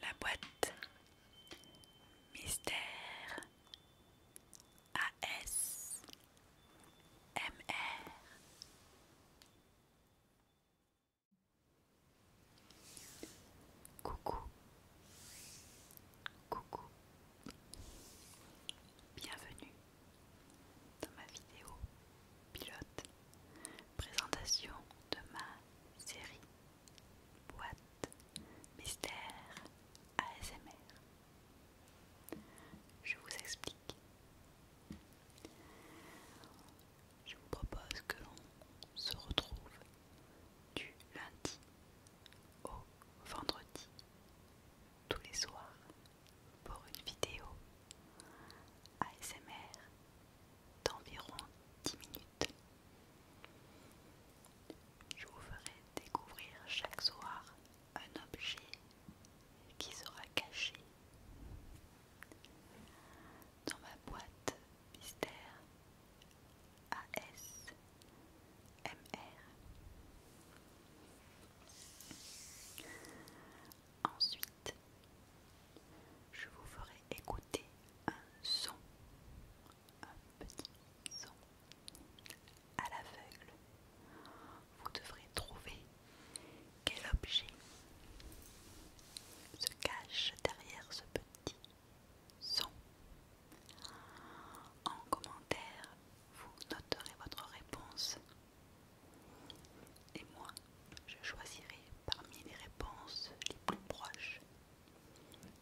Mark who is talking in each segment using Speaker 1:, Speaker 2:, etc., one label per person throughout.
Speaker 1: La boîte Mystère AS Coucou, coucou, bienvenue dans ma vidéo pilote, présentation de ma série boîte mystère ASMR. Je vous explique je vous propose que l'on se retrouve du lundi au vendredi tous les soirs pour une vidéo ASMR d'environ 10 minutes. Je vous ferai découvrir chaque soir un objet qui sera caché dans ma boîte Mystère ASMR Ensuite, je vous ferai écouter un son, un petit son à l'aveugle. Vous devrez trouver quel objet se cache derrière ce petit son. En commentaire, vous noterez votre réponse. Et moi, je choisirai parmi les réponses les plus proches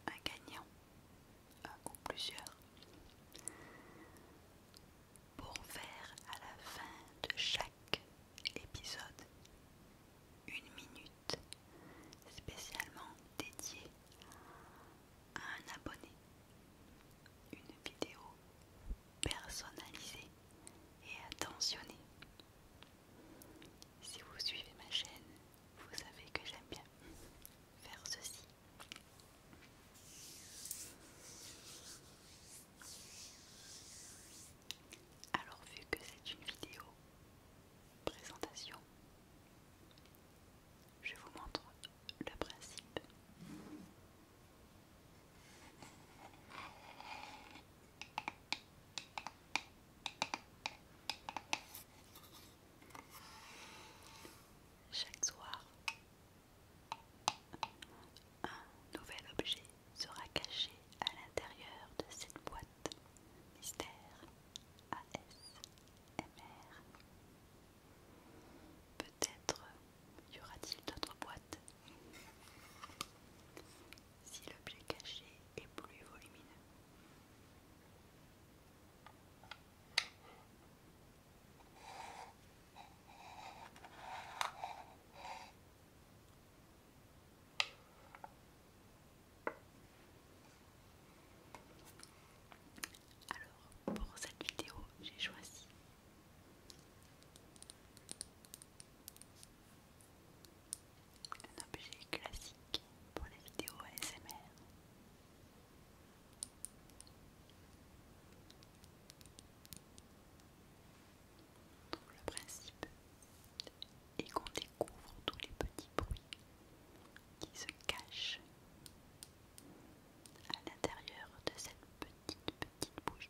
Speaker 1: un gagnant, un ou plusieurs, pour faire à la fin de chaque épisode une minute spécialement dédié à un abonné, une vidéo personnalisée et attentionnée. Si vous suivez ma chaîne, vous savez que j'aime bien faire ceci. Alors vu que c'est une vidéo présentation, je vous montre le principe. Chaque soir, un nouvel objet sera caché à l'intérieur de cette boîte Mystère ASMR. Peut-être y aura-t-il d'autres boîtes si l'objet caché est plus volumineux. Alors, pour cette vidéo, j'ai choisi un objet classique pour les vidéos ASMR. pour le principe, et qu'on découvre tous les petits bruits qui se cachent à l'intérieur de cette petite petite bouche.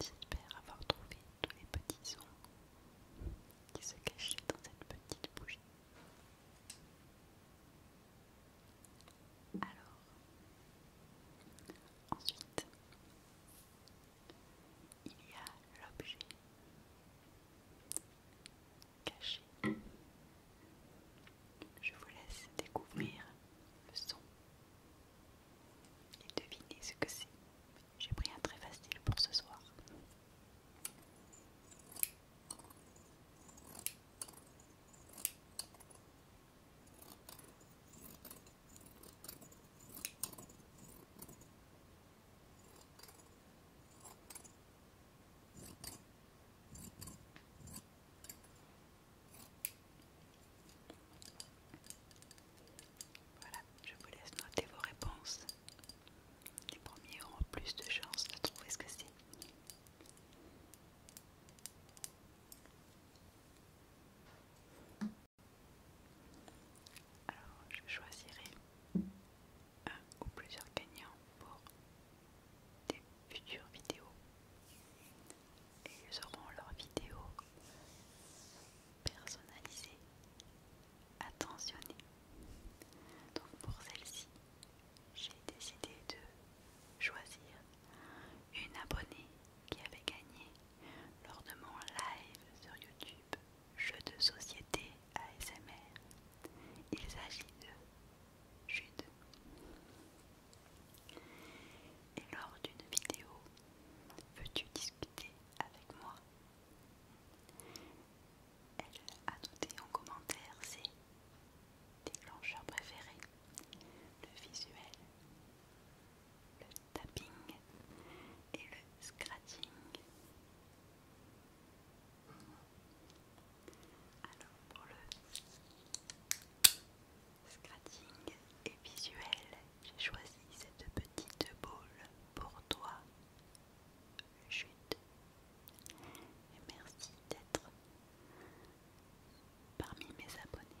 Speaker 1: J'espère avoir trouvé tous les petits sons qui se cachaient dans cette petite bougie. Alors, ensuite, il y a l'objet caché. Je vous laisse découvrir le son et devinez ce que c'est. J'ai pris un très facile pour ce soir. Voilà, je vous laisse noter vos réponses. Les premiers auront plus de chances de trouver ce que c'est. Alors, je choisirai un ou plusieurs gagnants pour des futures vidéos et ils auront leurs vidéos personnalisées, attentionnées. Donc pour celle-ci, j'ai décidé de choisir une abonnée qui avait gagné lors de mon live sur YouTube Jeux de société ASMR. Il s'agit de Jude. Et lors d'une vidéo Veux-tu discuter avec moi Elle a noté en commentaire ses déclencheurs préférés le visuel, le tapping et le scratching. Alors pour le scratching et visuel, j'ai choisi cette petite boule pour toi. Chute. Et merci d'être parmi mes abonnés.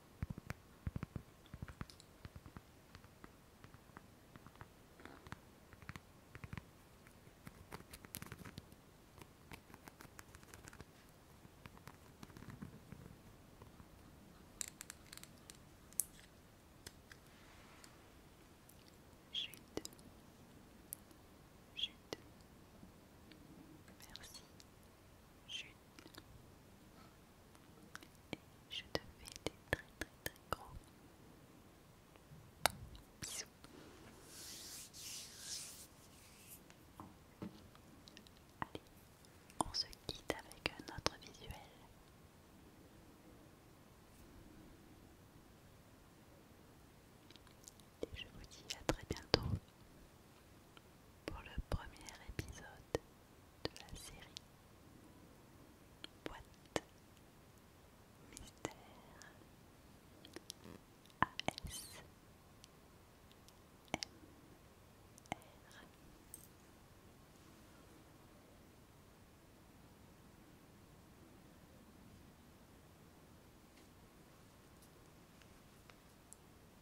Speaker 1: Chute. Chute. Merci. Et je te fais des très très très gros bisous. Allez, on se quitte avec un autre visuel. Et je vous dis à très bientôt pour le premier épisode de la série Boîte Mystère s r